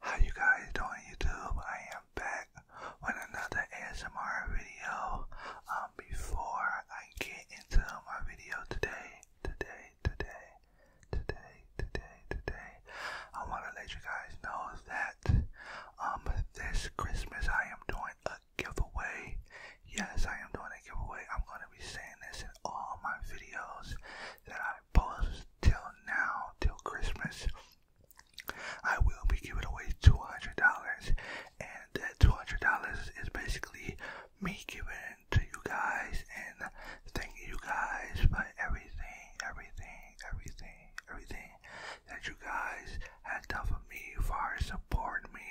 How you guys doing YouTube? I am back with another ASMR video. Um, before I get into my video today, today, today, today, today, today, I want to let you guys know that um this Christmas I am doing a giveaway. Yes, I am doing a giveaway. I'm gonna be saying this in all my videos that I post till now, till Christmas. I will be giving away two hundred dollars, and that two hundred dollars is basically me giving to you guys and thanking you guys for everything, everything, everything, everything that you guys have done for me, far as supporting me,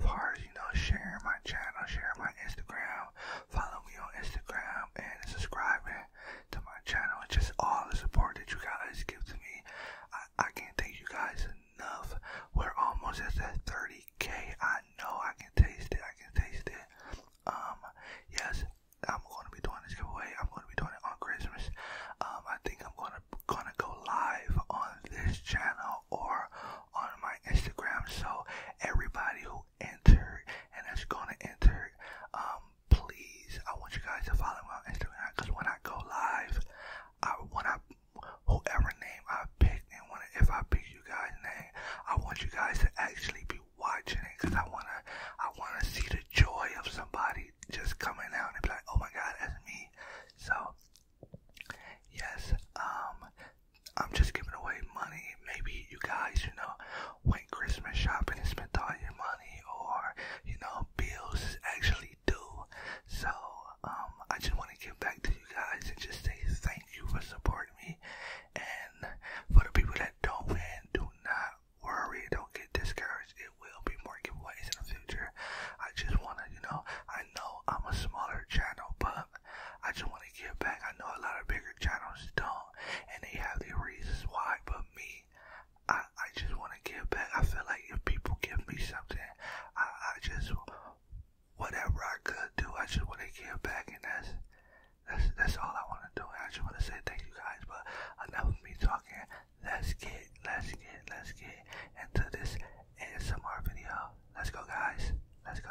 far as, you know, sharing my channel, sharing my Instagram, following me on Instagram, and subscribing to my channel, and just all the support that you guys give to me. I can't thank you guys enough. We're almost at that 30k. I know I can taste it. I can taste it. Um, yes, I'm going to be doing this giveaway. I'm going to be doing it on Christmas. Um, I think I'm going to gonna go live on this channel or on my Instagram. So everybody who entered and that's going to enter, um, please, I want you guys to follow me on Instagram because when I go live, I when I whoever name I pick and when if I pick you guys' name, I want you guys to actually be you watching it because I wanna I wanna see the joy of somebody just coming out and be like, oh my god, that's me. So yes, um I'm just giving away money. Maybe you guys, you know, went Christmas shopping and spent all your money or, you know, bills is actually due. So um I just wanna give back to you guys and just say thank you for supporting me and for the people that that don't win, do not worry, don't get discouraged. It will be more giveaways in the future. I just wanna, you know, I know I'm a smaller channel, but I just wanna give back. I know a lot of bigger channels don't, and they have their reasons why. But me, I I just wanna give back. I feel like if people give me something, I I just whatever I could do, I just wanna give back, and that's that's that's all I want to do. I just want to say thank you guys, but enough of me talking. Let's get, let's get, let's get into this ASMR video. Let's go, guys. Let's go.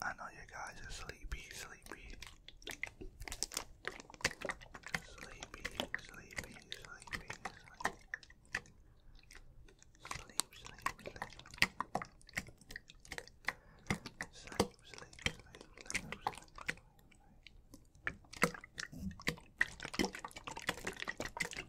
I know you guys are sleepy, sleepy. Sleepy, sleepy, sleepy, sleepy. Sleep, sleep, sleep. Sleep, sleep, sleep, sleep, sleep.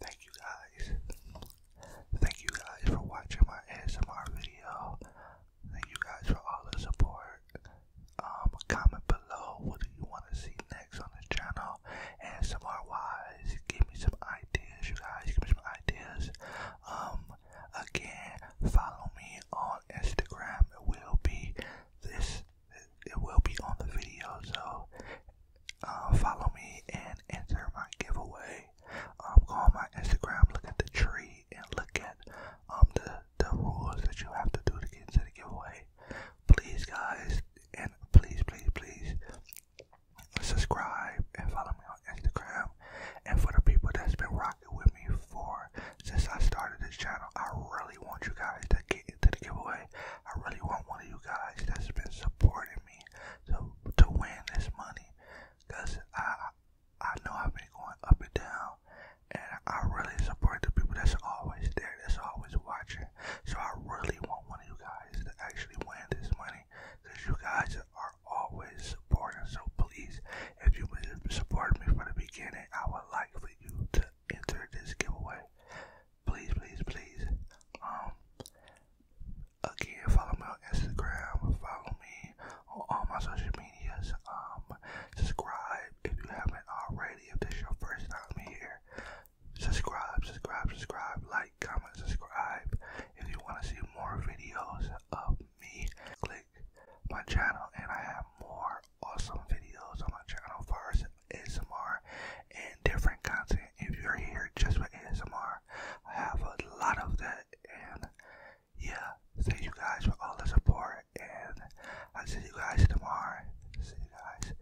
Thank you guys. Thank you guys for watching my ASMR video. Thank you guys for all the support. Um, comment below what do you want to see next on the channel. ASMR wise, give me some ideas, you guys. Give me some ideas. Um, Again, follow me on Instagram. It will be this. It will be on the video. So uh, follow me and enter my giveaway. Um, go on my Instagram. Look at the tree and look at um, the the rules that you have to do to get into the giveaway. Please, guys, and please, please, please subscribe and follow me on Instagram. And for the people that's been rocking with me for since I started this channel, I really want you guys to get into the giveaway. I really want one of you guys that's been supporting me to to win this money, cause I I know I've been going up and down, and I really support the people that's always there, that's always watching. So I really want one of you guys to actually win this money, cause you guys are are always supporting. So please, if you would support me from the beginning, I would like for you to enter this giveaway. Please, please, please. Um, again, follow me on Instagram. Follow me on all my social medias. Um, subscribe if you haven't already. If this is your first time here, subscribe, subscribe, subscribe. Like comment, subscribe. If you want to see more videos of me, click my channel, and I have more awesome videos on my channel for ASMR and different content. If you're here just for ASMR, I have a lot of that, and yeah, thank you guys for all the support, and I'll see you guys tomorrow. See you guys.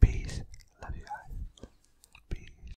Peace. Love you guys. Peace.